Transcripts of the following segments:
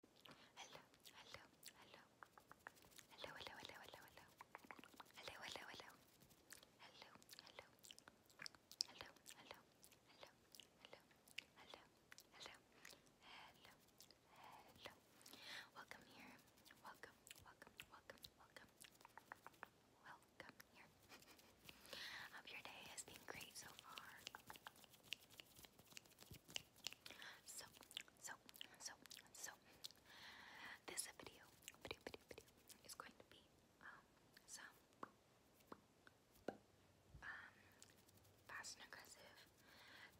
Hello, hello, hello. Hello, hello, hello, hello, hello. Hello, hello, hello. Hello, hello. Hello, hello, hello, hello, Welcome here. Welcome, welcome, welcome, welcome. Welcome here. Hope your day has been great so far. So, so, so, so, this video, video, video, video is going to be um, um, fast and aggressive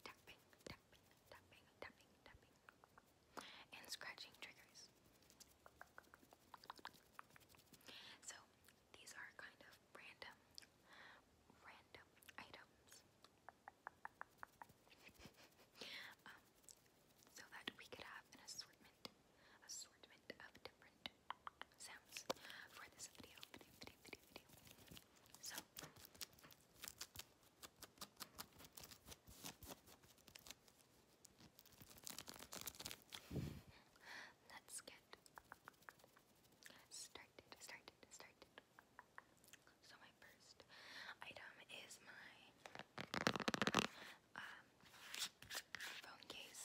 tapping, tapping, tapping, tapping, tapping, and scratching triggers. So, these are kind of random, random items. Um, so that we could have an assortment, assortment of different sounds for this video. So. Let's get started, started, started. So my first item is my um, phone case.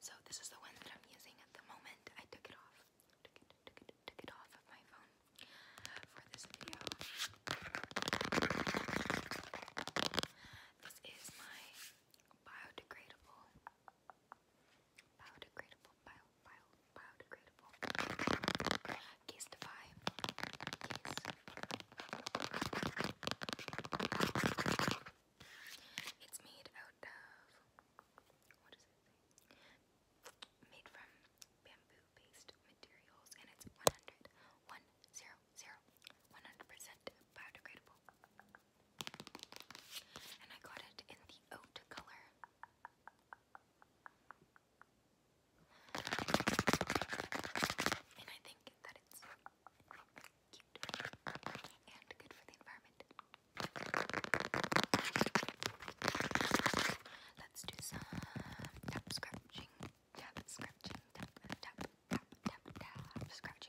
So this is the one that I'm using at the moment. I took it off. Took it, took it, took it off of my phone for this video. This is my biodegradable biodegradable, bio, bio, biodegradable. Castify, case. It's made out of Made from bamboo-based materials, and it's 100, percent biodegradable. And I got it in the oat color. And I think that it's cute and good for the environment. Let's do some tap scratching, tap scratching, tap, tap, tap, tap, tap, scratch.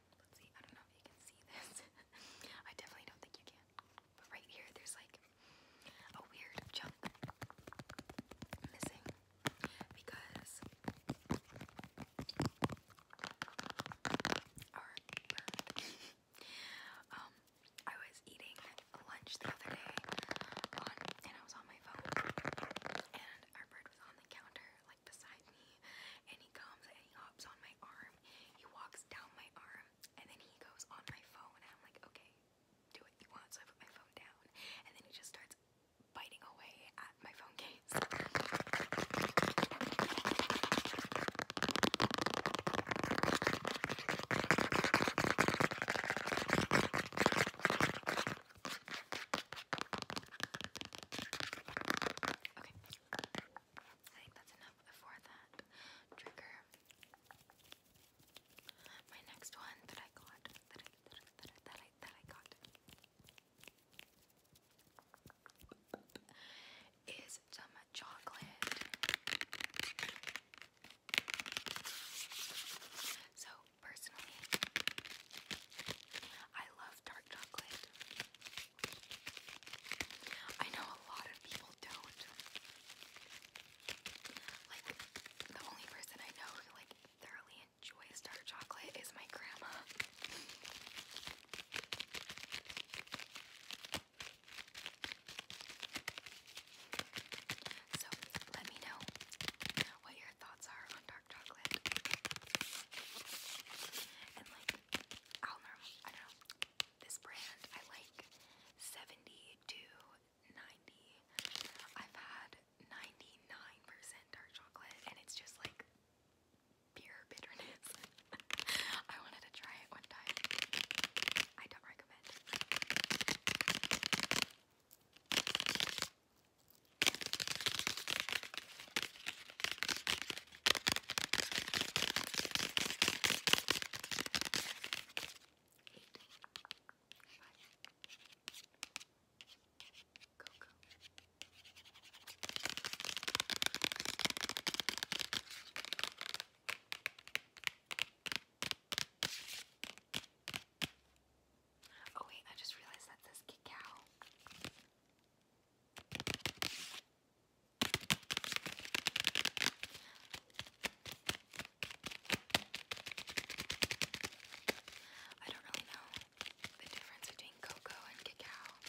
let's see, I don't know if you can see this. I definitely don't think you can. But right here, there's like a weird chunk missing because um, I was eating lunch the other day, and I was on my phone, and our bird was on the counter, like beside me, and he comes and he hops on my arm he walks down my arm, and then he goes on my phone, and I'm like, okay, do what you want. So I put my phone down, and then he just starts biting away at my phone case. Okay. I think that's enough for that trigger. My next one that I got, that I, that I, that I, got, is some chocolate. So personally, I love dark chocolate. I know a lot of people don't. Like, the only person I know who, like, thoroughly enjoys dark chocolate is my grandma. So, let me know what your thoughts are on dark chocolate. I don't know, I don't know. This brand I like 70 to 90. I've had 99% dark chocolate and it's just like pure bitterness. I wanted to try it one time. I don't recommend it. Oh wait, I just realized that says cacao. I don't really know the difference between cocoa and cacao. I'm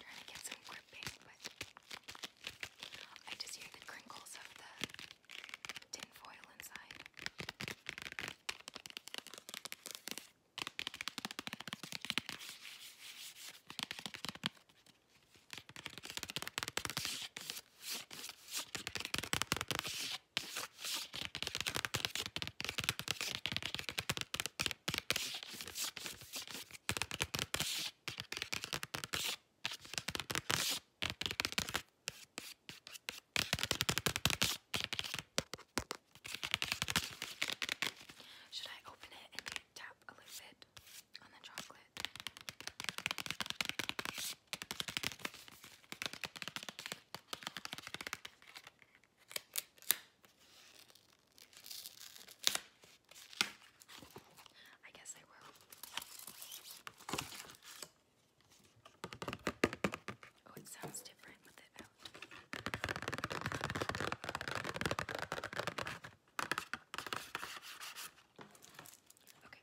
trying to get some gripping, but I just hear the crinkles of the tin foil inside. Should I open it and you tap a little bit on the chocolate? I guess I will. Oh, it sounds different with it out. Okay.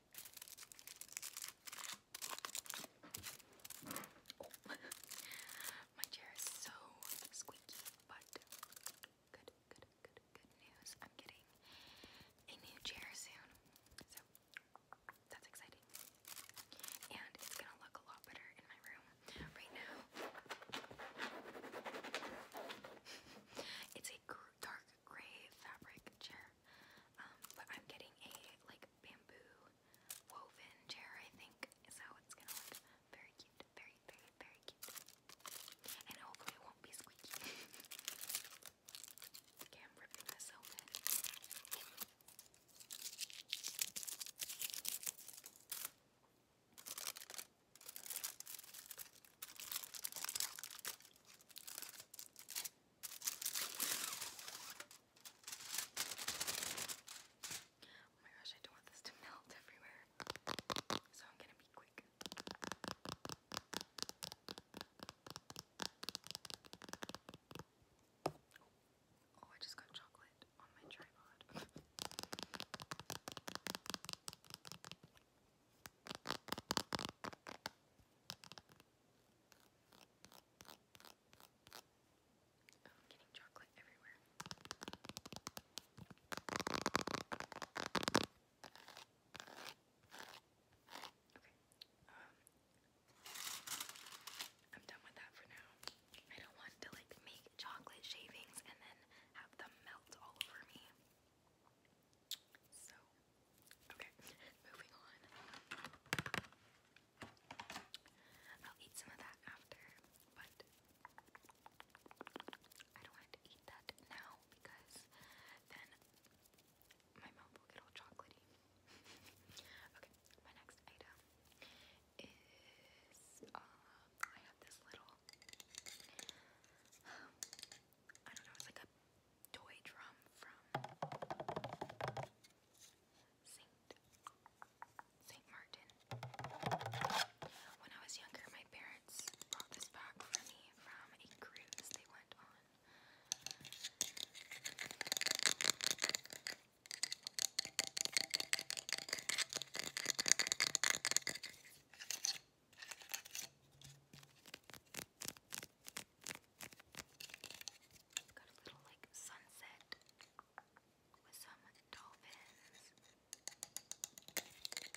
my chair is so squeaky, but good, good, good, good news. I'm getting a new chair soon, so that's exciting. And it's gonna look a lot better in my room. Right now, it's a dark gray fabric chair. Um, but I'm getting a like bamboo woven chair, I think, so it's gonna look very cute, very, very, very cute. And hopefully it won't be squeaky. okay, I'm ripping Oh my gosh, I don't want this to melt everywhere. So I'm gonna be quick. Oh, oh I just got chocolate on my tripod. Oh, I'm getting chocolate everywhere. Okay. Um I'm done with that for now. I don't want to like make chocolate shavings and then have them melt all over me. So, okay, moving on. I'll eat some of that after, but I don't want to eat that now because then my mouth will get all chocolatey. okay, my next item is um, I have this little. Um, I don't know, it's like a toy drum from Saint Saint Martin. When I was younger, my parents brought this back for me from a cruise they went on. It's got a little like sunset with some dolphins. It's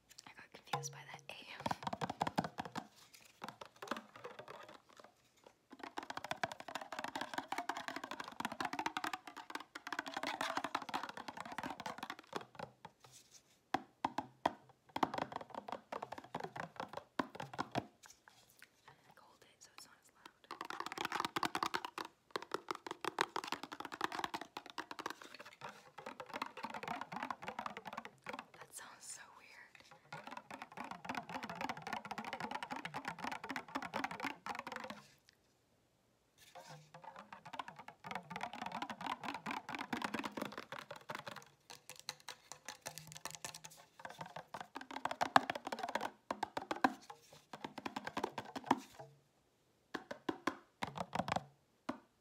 I got confused by that A. I hold it so it's not as loud. That sounds so weird.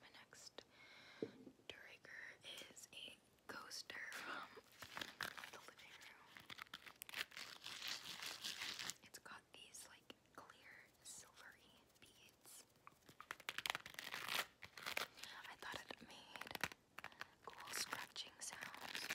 my next trigger is a coaster from the living room. It's got these like clear silvery beads. I thought it made cool scratching sounds.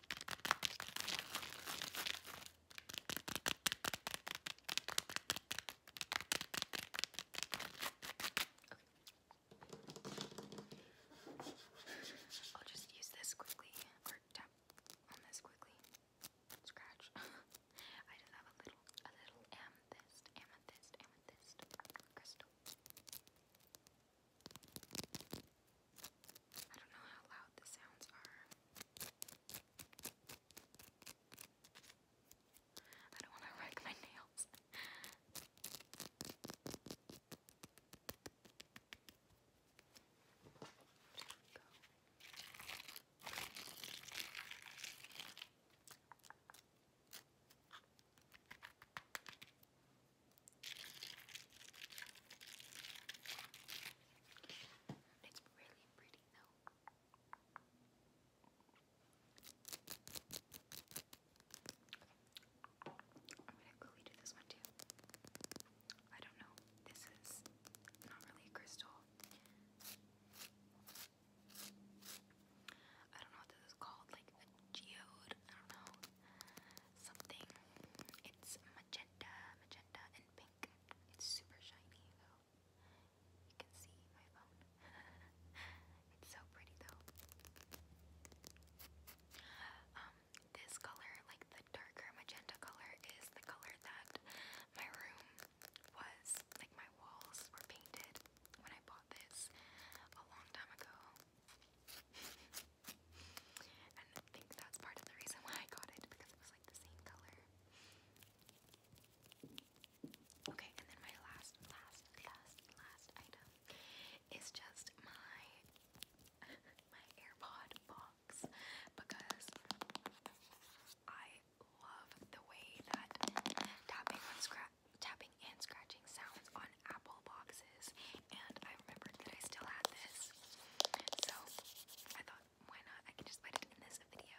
I'll just use this quickly or tap on this quickly. Scratch. I just have a little a little amethyst, amethyst, amethyst crystal. I don't know how loud the sounds are. I don't want to wreck my nails. Go. It's really pretty though. I'm gonna quickly do this one too. I don't know. This is not really a crystal. I don't know what this is called, like a geode. I don't know something. It's magenta, magenta, and pink. It's super shiny though. You can see my phone. it's so pretty though. Um, this color, like the darker magenta color, is the color that my room was. Like my walls were painted when I bought this a long time ago and I think that's part of the reason why I got it because it was like the same color. Okay, and then my last, last, last, last item is just my my AirPod box because I love the way that tapping on scratch tapping and scratching sounds on apple boxes, and I remembered that I still had this. So I thought, why not? I can just put it in this video.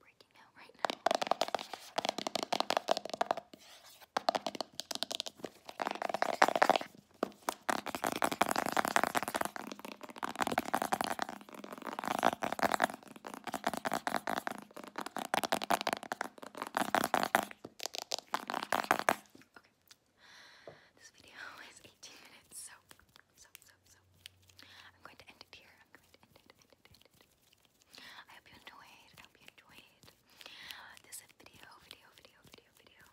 Breaking out right now. This video is 18 minutes, so, I'm going to end it here. i hope you enjoyed. I hope you enjoyed uh, this video, video, video, video, video.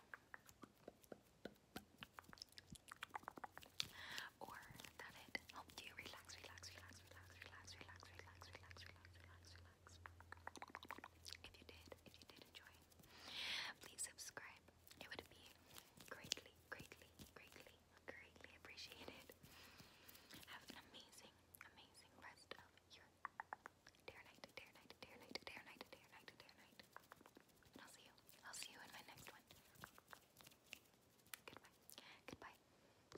Or that it helped you relax, relax, relax, relax, relax, relax, relax, relax, relax, If you did, if you did enjoy please subscribe. It would be greatly, greatly, greatly, greatly appreciated. Have an amazing, amazing rest of your dare night, dare night, dare night, dare night, dare night. And I'll see you. I'll see you in my next one. Goodbye. Goodbye.